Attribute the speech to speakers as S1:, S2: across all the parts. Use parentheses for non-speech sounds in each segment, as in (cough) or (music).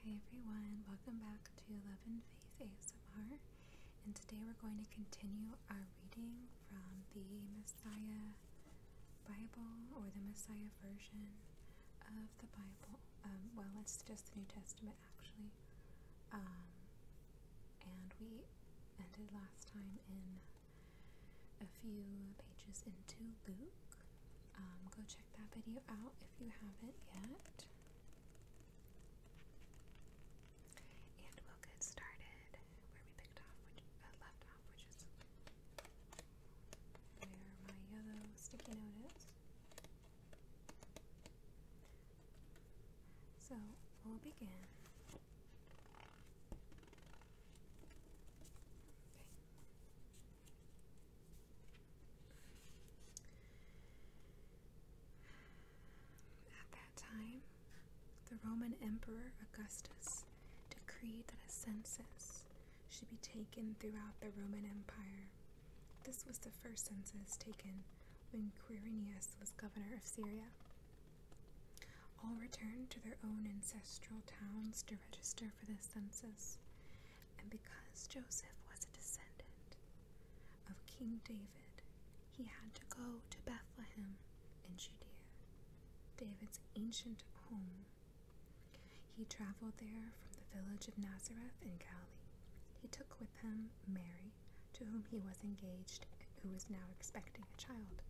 S1: Hi everyone, welcome back to Love and Faith ASMR. And today we're going to continue our reading from the Messiah Bible or the Messiah version of the Bible. Um, well, it's just the New Testament actually. Um, and we ended last time in a few pages into Luke. Um, go check that video out if you haven't yet. And we'll get started where we picked off, which uh, is there my yellow sticky note is. So we'll begin. At that time, the Roman Emperor Augustus decreed that a census should be taken throughout the Roman Empire. This was the first census taken when Quirinius was governor of Syria. All returned to their own ancestral towns to register for this census. And because Joseph was a descendant of King David, he had to go to Bethlehem in Judea, David's ancient home. He traveled there from the village of Nazareth in Galilee. He took with him Mary, to whom he was engaged, and who was now expecting a child.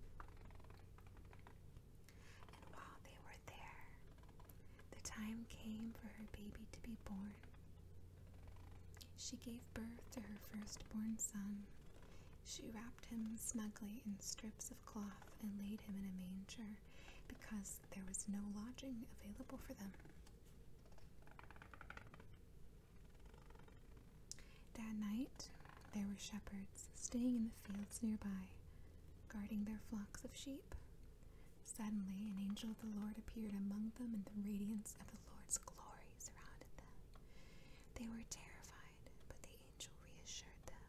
S1: And ah, while they were there, the time came for her baby to be born. She gave birth to her firstborn son. She wrapped him snugly in strips of cloth and laid him in a manger because there was no lodging available for them. That night, there were shepherds staying in the fields nearby, guarding their flocks of sheep. Suddenly, an angel of the Lord appeared among them, and the radiance of the Lord's glory surrounded them. They were terrified, but the angel reassured them.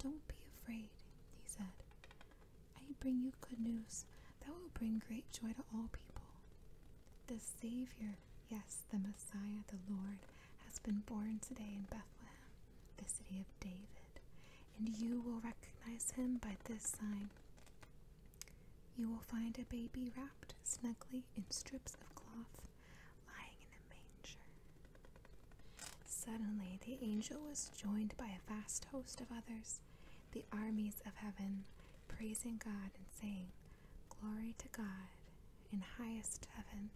S1: Don't be afraid, he said. I bring you good news that will bring great joy to all people. The Savior, yes, the Messiah, the Lord, has been born today in Bethlehem, the city of David, and you will recognize him by this sign. You will find a baby wrapped snugly in strips of cloth, lying in a manger. Suddenly, the angel was joined by a vast host of others, the armies of heaven, praising God and saying, Glory to God in highest heaven,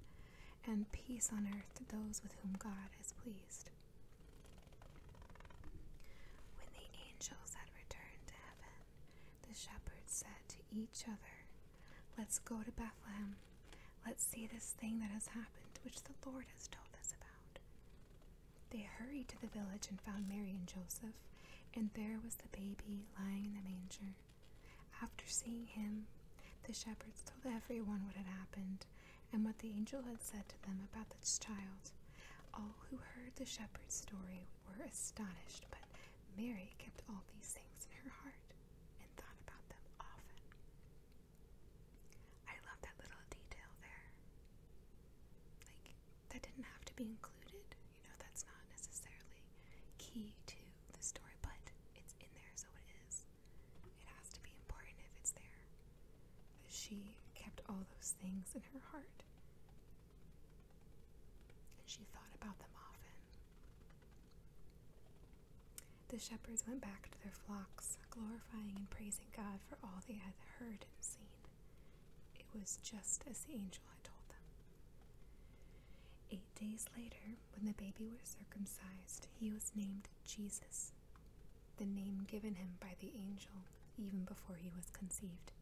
S1: and peace on earth to those with whom God is pleased. When the angels had returned to heaven, the shepherds said to each other, Let's go to Bethlehem. Let's see this thing that has happened, which the Lord has told us about. They hurried to the village and found Mary and Joseph, and there was the baby lying in the manger. After seeing him, the shepherds told everyone what had happened and what the angel had said to them about this child. All who heard the shepherd's story were astonished, but Mary kept all these things in her heart and thought about them often. I love that little detail there. Like, that didn't have to be included. You know, that's not necessarily key to the story, but it's in there, so it is. It has to be important if it's there. She kept all those things in her heart. And she thought about them often. The shepherds went back to their flocks, glorifying and praising God for all they had heard and seen. It was just as the angel had told them. Eight days later, when the baby was circumcised, he was named Jesus, the name given him by the angel even before he was conceived.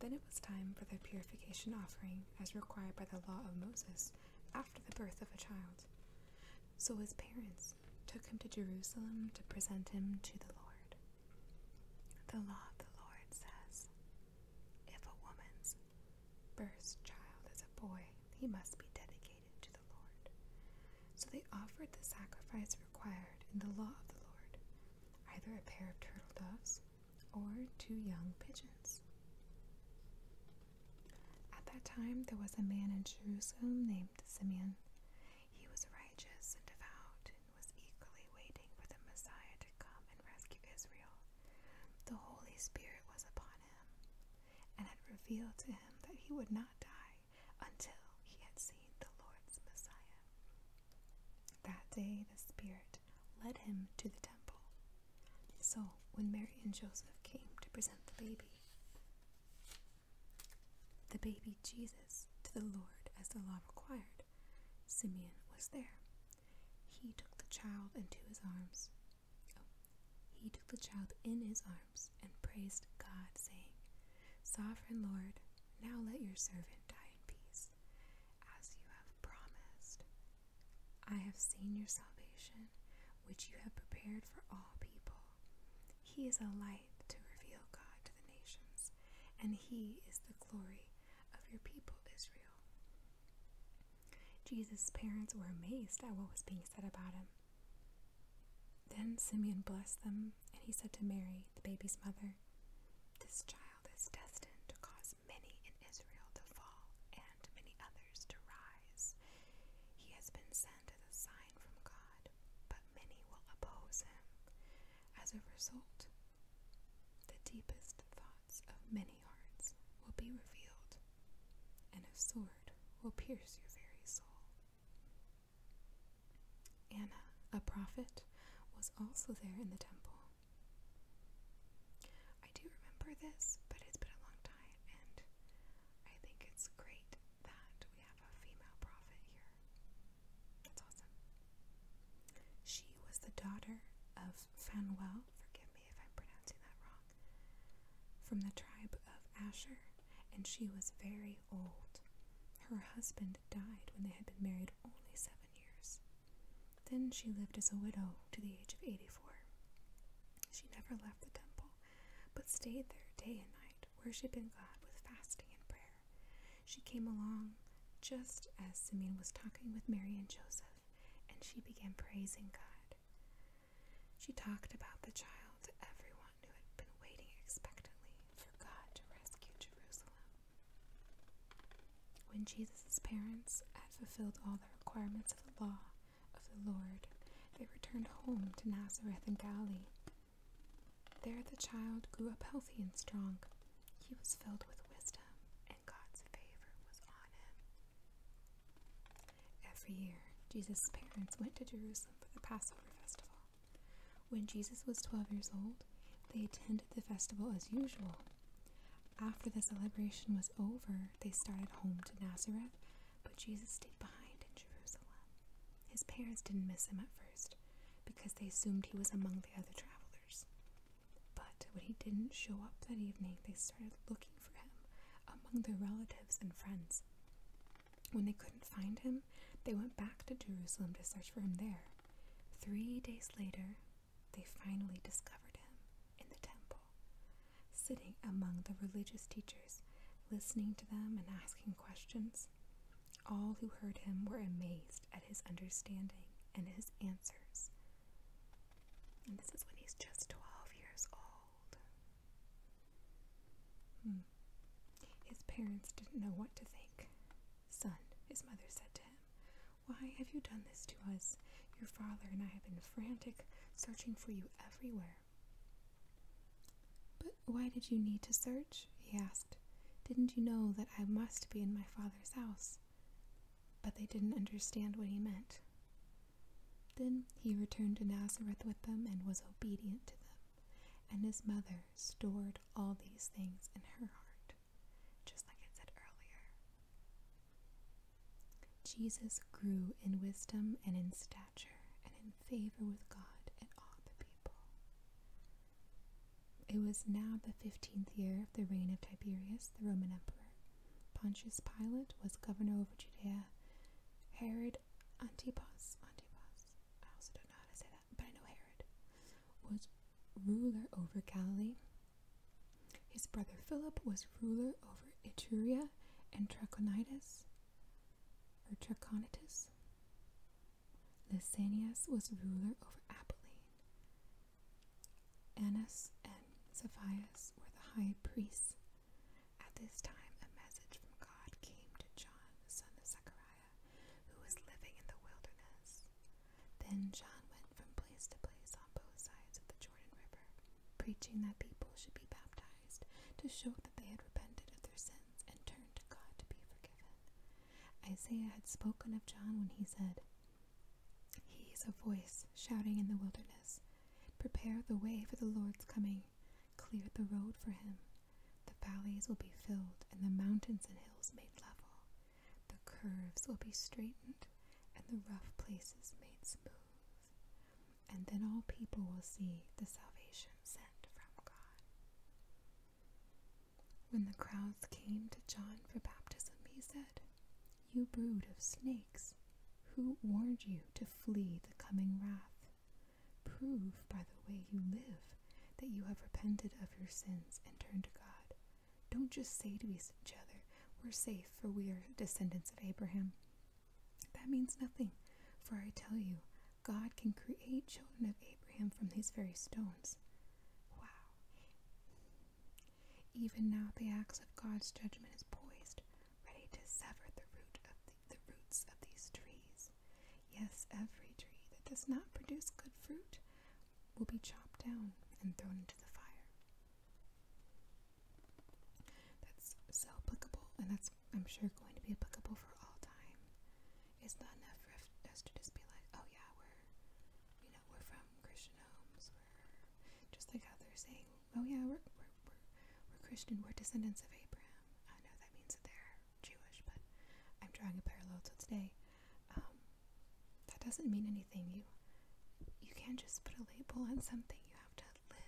S1: Then it was time for the purification offering as required by the law of Moses after the birth of a child. So his parents took him to Jerusalem to present him to the Lord. The law of the Lord says, If a woman's first child is a boy, he must be dedicated to the Lord. So they offered the sacrifice required in the law of the Lord, either a pair of turtle doves or two young pigeons. At that time there was a man in Jerusalem named Simeon. He was righteous and devout and was eagerly waiting for the Messiah to come and rescue Israel. The Holy Spirit was upon and had revealed to him that he would not die until he had seen the Lord's Messiah. That day the Spirit led him to the temple. So when Mary and Joseph came to present the baby, the baby Jesus to the Lord as the law required, Simeon was there. He took the child into his arms he took the child in his arms and praised God, saying, Sovereign Lord, now let your servant die in peace, as you have promised. I have seen your salvation, which you have prepared for all people. He is a light to reveal God to the nations, and he is the glory of your people, Israel. Jesus' parents were amazed at what was being said about him. Then Simeon blessed them, and he said to Mary, the baby's mother, This child is destined to cause many in Israel to fall and many others to rise. He has been sent as a sign from God, but many will oppose him. As a result, the deepest thoughts of many hearts will be revealed and a sword will pierce your very soul. Anna, a prophet, was also there in the temple. I do remember this, but it's been a long time, and I think it's great that we have a female prophet here. That's awesome. She was the daughter of Fanuel, forgive if I'm pronouncing that wrong, from the tribe of Asher, and she was very old. Her husband died when they had been married only seven years. Then she lived as a widow to the age of 84. She never left the temple, but stayed there day and night, worshiping God with fasting and prayer. She came along just as Simeon was talking with Mary and Joseph, and she began praising God. She talked about the child to everyone who had been waiting expectantly for God to rescue Jerusalem. When Jesus' parents had fulfilled all the requirements of the law of the Lord, they returned home to Nazareth in Galilee. There the child grew up healthy and strong. He was filled with wisdom, and God's favor was on him. Every year, Jesus' parents went to Jerusalem for the Passover festival. When Jesus was 12 years old, they attended the festival as usual. After the celebration was over, they started home to Nazareth, but Jesus stayed behind in Jerusalem. His parents didn't miss him at first because they assumed he was among the other travelers. But when he didn't show up that evening, they started looking among their relatives and friends. When they couldn't find him, they went back to Jerusalem to search for him there. Three days later, they finally discovered him in the temple, sitting among the religious teachers, listening to them and asking questions. All who heard him were amazed at his understanding and his answers. And this is when he's just 12 years old. Hmm. His parents didn't know what to think. Son, his mother said to him, why have you done this to us? Your father and I have been frantic, searching for you everywhere. But why did you need to search? he asked. Didn't you know that I must be in my father's house? But they didn't understand what he meant. Then he returned to Nazareth with them and was obedient to them. And his mother stored all these things in her heart, just like it said earlier. Jesus grew in wisdom and in stature and in favor with God and all the people. It was now the fifteenth year of the reign of Tiberius, the Roman emperor. Pontius Pilate was governor of Judea. Herod Antipas, Antipas, I also don't know how to say that, but I know Herod, was ruler over Galilee. His brother Philip was ruler over Etruria and Trachonitis, or Trachonitis. Lysanias was ruler over Apolline. Annas and Sapphias were the high priests at this time, a message from God came to John, son of Zechariah, who was living in the wilderness. Then John went from place to place on both sides of the Jordan River, preaching that people should be baptized to show that they had repented of their sins and turned to God to be forgiven. Isaiah had spoken of John when he said, He is a voice shouting in the wilderness, Prepare the way for the Lord's coming. Clear the road for him. The valleys will be filled, and the mountains and hills made level. The curves will be straightened, and the rough places made smooth. And then all people will see the salvation sent from God. When the crowds came to John for baptism, he said, You brood of snakes, who warned you to flee the coming wrath? Prove by the way you live that you have repented of your sins and turned to God. Don't just say to each other, We're safe, for we are descendants of Abraham. That means nothing, for I tell you, God can create children of Abraham from these very stones. Wow. Even now, the axe of God's judgment is poised, ready to sever the root of the, roots of these trees. Yes, every tree that does not produce good fruit will be chopped down and thrown into the fire. That's so applicable, and that's, I'm sure, going to be applicable for all time. It's not enough for to just be like, oh yeah, we're, you know, we're from Christian homes, we're just like how they're saying oh yeah, we're, we're, we're, Christian, we're descendants of Abraham. I know that means that they're Jewish, but I'm drawing a parallel to today. Um, that doesn't mean anything. You, you can't just put a label on something. You have to live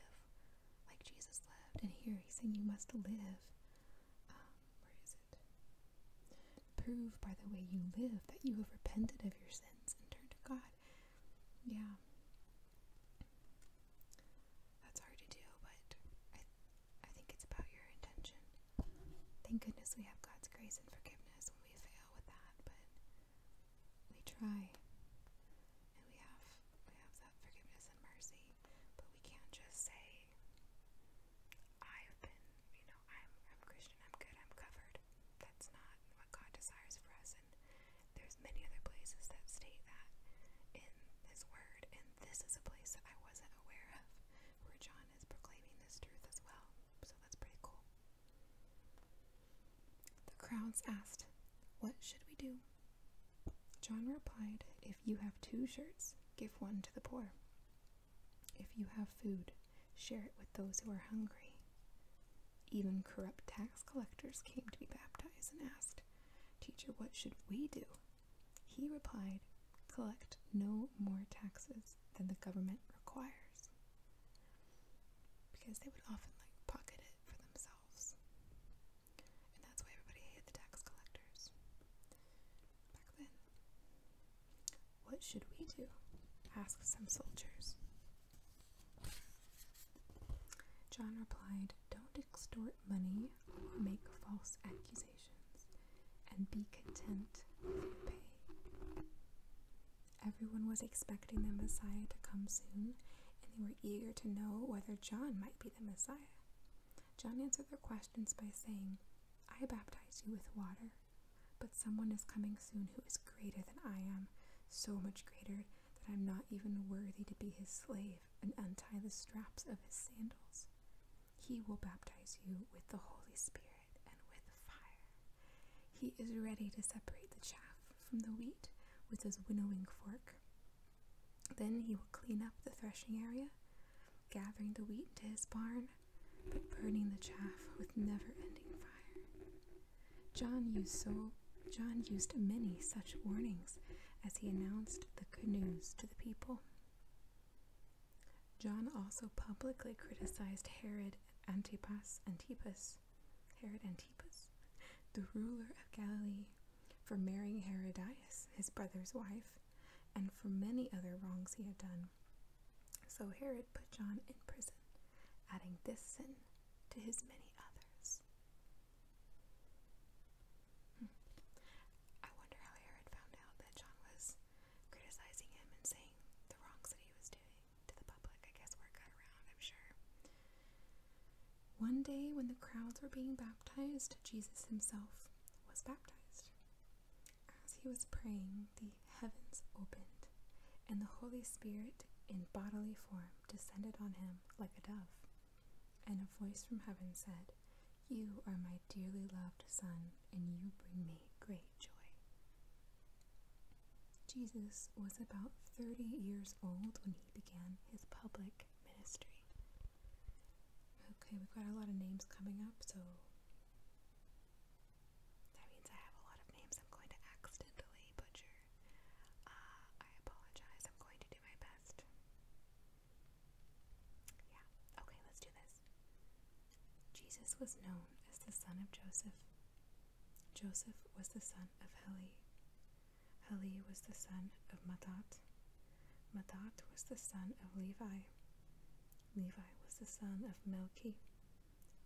S1: like Jesus lived. And here he's saying you must live. Um, where is it? Prove by the way you live that you have repented of your sins and turned to God. Yeah. That's hard to do, but I, I think it's about your intention. Thank goodness we have God's grace and forgiveness when we fail with that, but we try, and we have we have that forgiveness and mercy, but we can't just say, "I've been, you know, I'm I'm Christian, I'm good, I'm covered." That's not what God desires for us there's many other places that state that in his word, and this is a place that I wasn't aware of where John is proclaiming this truth as well. So that's pretty cool. The crowds asked, What should we do? John replied, If you have two shirts, give one to the poor. If you have food, share it with those who are hungry. Even corrupt tax collectors came to be baptized and asked, Teacher, what should we do? He replied, Collect no more taxes than the government requires. Because they would often like pocket it for themselves. And that's why everybody hated the tax collectors back then. What should we do? asked some soldiers. John replied, Don't extort money or make false accusations, and be content with your pay. Everyone was expecting the Messiah to come soon, and they were eager to know whether John might be the Messiah. John answered their questions by saying, I baptize you with water, but someone is coming soon who is greater than I am, so much greater that I'm not even worthy to be his slave and untie the straps of his sandals. He will baptize you with the Holy Spirit and with fire. He is ready to separate the chaff from the wheat with his winnowing fork. Then he will clean up the threshing area, gathering the wheat to his barn, but burning the chaff with never ending fire. John used so John used many such warnings as he announced the good news to the people. John also publicly criticized Herod Antipas, Antipas, Herod Antipas, the ruler of Galilee, for marrying Herodias, his brother's wife, and for many other wrongs he had done. So Herod put John in prison, adding this sin to his many others. I wonder how Herod found out that John was criticizing him and saying the wrongs that he was doing to the public. I guess word got around, I'm sure. One day, when the crowds were being baptized, Jesus himself was baptized. As he was praying, the heavens opened, and the Holy Spirit, in bodily form, descended on him like a dove. And a voice from heaven said, You are my dearly loved Son, and you bring me great joy. Jesus was about 30 years old when he began his public ministry. Okay, we've got a lot of names coming up, so that means I have a lot of names I'm going to accidentally butcher. Uh, I apologize. I'm going to do my best. Yeah. Okay, let's do this. Jesus was known as the son of Joseph. Joseph was the son of Heli. Heli was the son of Matat. Matat was the son of Levi. Levi was the son of Melchi.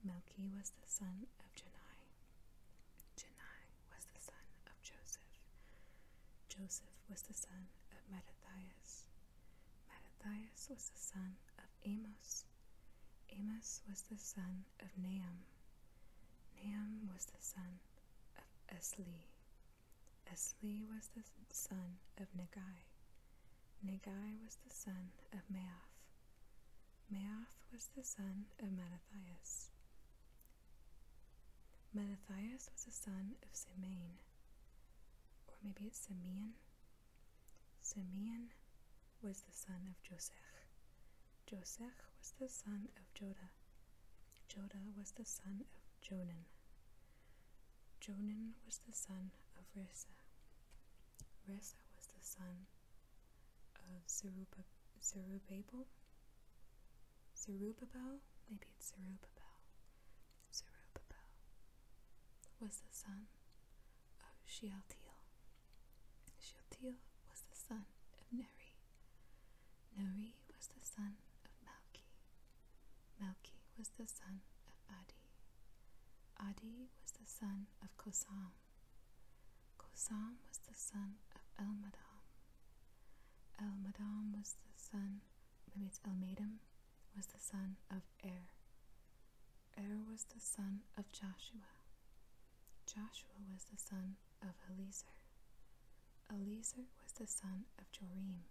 S1: Melchi was the son of Janai. Jenai was the son of Joseph. Joseph was the son of Mattathias. Mattathias was the son of Amos. Amos was the son of Nahum. Nahum was the son of Esli. Esli was the son of Nagai. Nagai was the son of Maath. Maath was the son of Mattathias. Mattathias was the son of Simeon, or maybe it's Simeon. Simeon was the son of Josèch. Josèch was the son of Jodah. Jodah was the son of Jonan. Jonan was the son of Resa. Resa was the son of Zerubbabel. Zerubbabel, maybe it's Zerubbabel, Zerubbabel was the son of Shealtiel. Shealtiel was the son of Neri. Neri was the son of Malki. Malki was the son of Adi. Adi was the son of Kosam. Kosam was the son of Elmadam. Elmadam was the son, maybe it's Elmadam, was the son of Er. Er was the son of Joshua. Joshua was the son of Eliezer. Eliezer was the son of Jorim.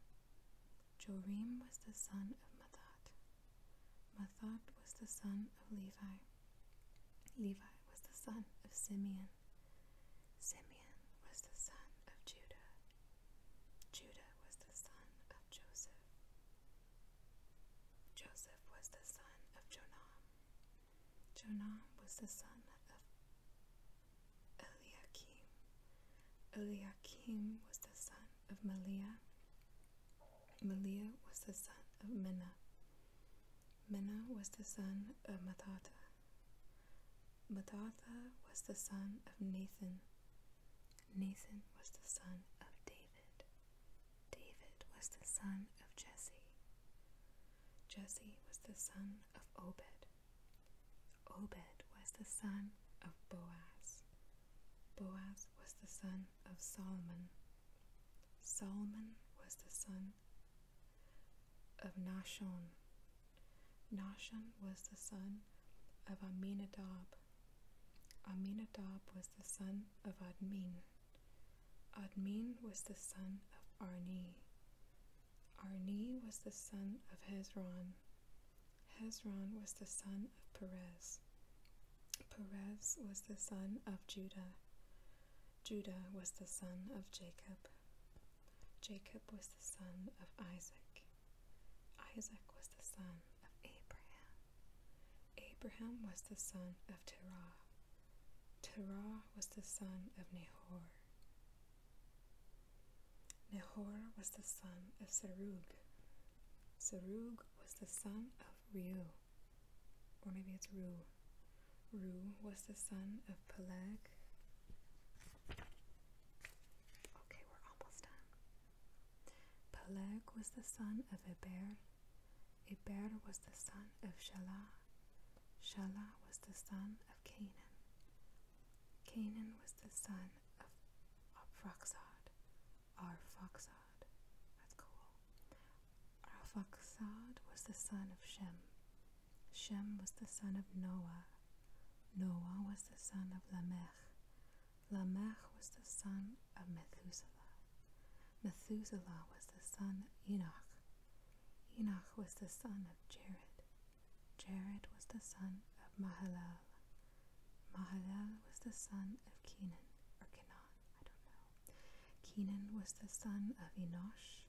S1: Jorim was the son of Mathod. Mathod was the son of Levi. Levi was the son of Simeon. Simeon was the son of Judah. Judah was the son of Joseph. Joseph was the son of Jonam. Jonam was the son of Eliakim. Eliakim was the son of Meliah. Meliah was the son of Menah. Mena was the son of Matatha. Matatha was the son of Nathan. Nathan was the son of David. David was the son of Jesse. Jesse was the son of Obed. Obed was the son of Boaz. Boaz was the son of Solomon. Solomon was the son of Nashon. Nashon was the son of Aminadab. Aminadab was the son of Admin. Admin was the son of Arni. Arni was the son of Hezron. Hezron was the son of Perez. Perez was the son of Judah. Judah was the son of Jacob. Jacob was the son of Isaac. Isaac was the son of Abraham. Abraham was the son of Terah. Terah was the son of Nahor. Nahor was the son of Serug. Serug was the son of Reu, or maybe it's Ru. Ru was the son of Peleg. Okay, we're almost done. Peleg was the son of Eber. Eber was the son of Shelah. Shelah was the son of Canaan. Canaan was the son of Arphaxad. Arphaxad. That's cool. Arphaxad was the son of Shem. Shem was the son of Noah. Noah was the son of Lamech. Lamech was the son of Methuselah. Methuselah was the son of Enoch. Enoch was the son of Jared. Jared was the son of Mahalal. Mahalal was the son of Kenan or Kenan, I don't know. Kenan was the son of Enosh.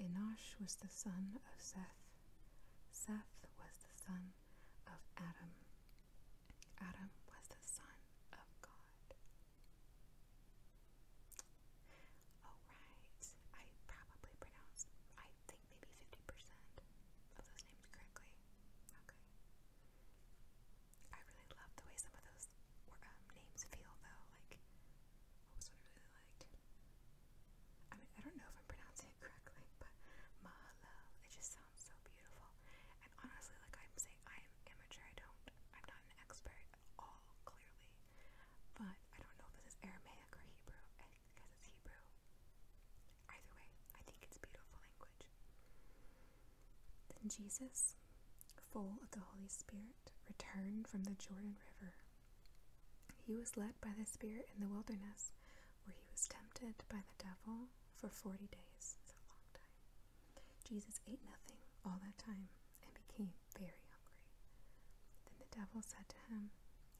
S1: Enosh was the son of Seth. Seth was the son of Adam. Adam was the son of God. All right, I probably pronounced, I think maybe 50% of those names correctly. Okay. I really love the way some of those um, names feel though? Like, what was I really liked? I mean, I don't know if I'm pronouncing it correctly, but Mahalal, it just sounds so beautiful. And honestly, like I'm saying, I am amateur, I don't, I'm not an expert at all, clearly. But I don't know if this is Aramaic or Hebrew, I guess Hebrew. Either way, I think it's beautiful language. Then Jesus, full of the Holy Spirit, Egypt returned from the Jordan River. He was led by the Spirit in the wilderness, where he was tempted by the devil for 40 days. Jesus ate nothing all that time and became very hungry. Then the devil said to him,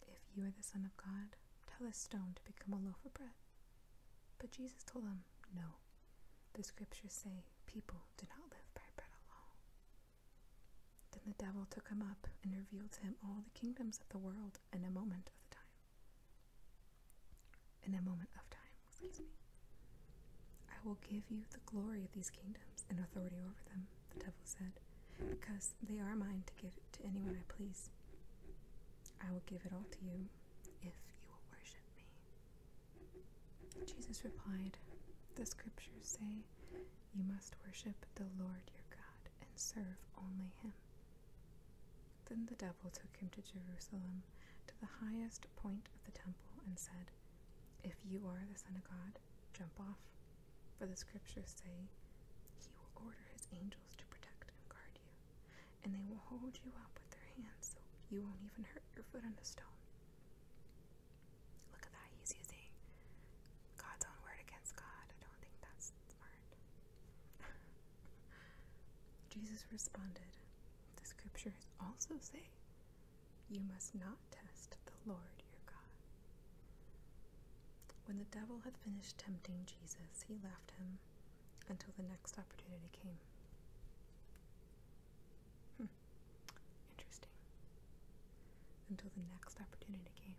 S1: If you are the Son of God, tell this stone to become a loaf of bread. But Jesus told him, No. The scriptures say people do not live by bread alone, then the devil took him up and revealed to him all the kingdoms of the world in a moment of time. In a moment of time, excuse me. I will give you the glory of these kingdoms and authority over them, the devil said, because they are mine to give to anyone I please. I will give it all to you if you will worship me. Jesus replied, The scriptures say you must worship the Lord your God and serve only him. Then the devil took him to Jerusalem, to the highest point of the temple, and said, If you are the Son of God, jump off, for the scriptures say, He will order His angels to protect and guard you, and they will hold you up with their hands so you won't even hurt your foot on the stone. Look at that, he's using God's own word against God. I don't think that's smart. (laughs) Jesus responded, The scriptures also say, You must not test the Lord your God. When the devil had finished tempting Jesus, he left him until the next opportunity came. Hmm. Interesting. Until the next opportunity came.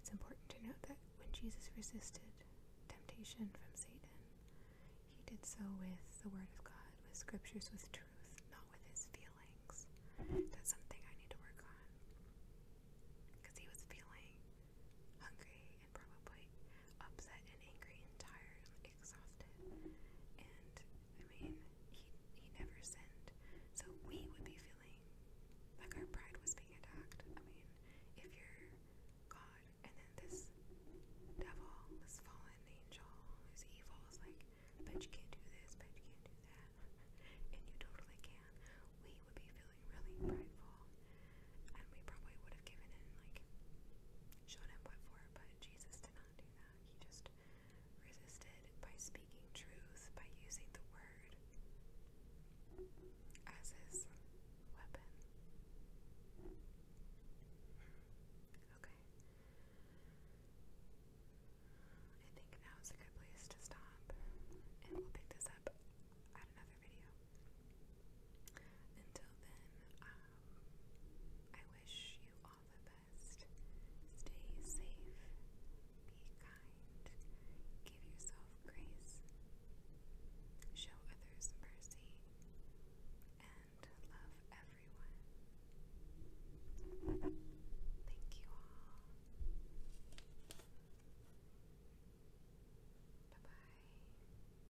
S1: It's important to note that when Jesus resisted temptation from Satan, he did so with the Word of God, with scriptures, with truth, not with his feelings. That's something I need to work on. Because he was feeling hungry and probably upset and angry and tired exhausted. And I mean, he he never sinned. So we would be feeling like our pride was being attacked. I mean, if you're God and then this devil, this fallen angel who's evil is like, but you can't do this, but you can't do that (laughs) and you totally can, we would be feeling really prideful and we probably would have given in, like, shown him what for, but Jesus did not do that. He just resisted by speaking truth, by using the word as his weapon. Okay. I think now is a good place to stop, and we'll pick this up at another video. Until then, um, I wish you all the best. Stay safe, be kind, give yourself grace, show others mercy, and love everyone. Thank you all. Bye bye.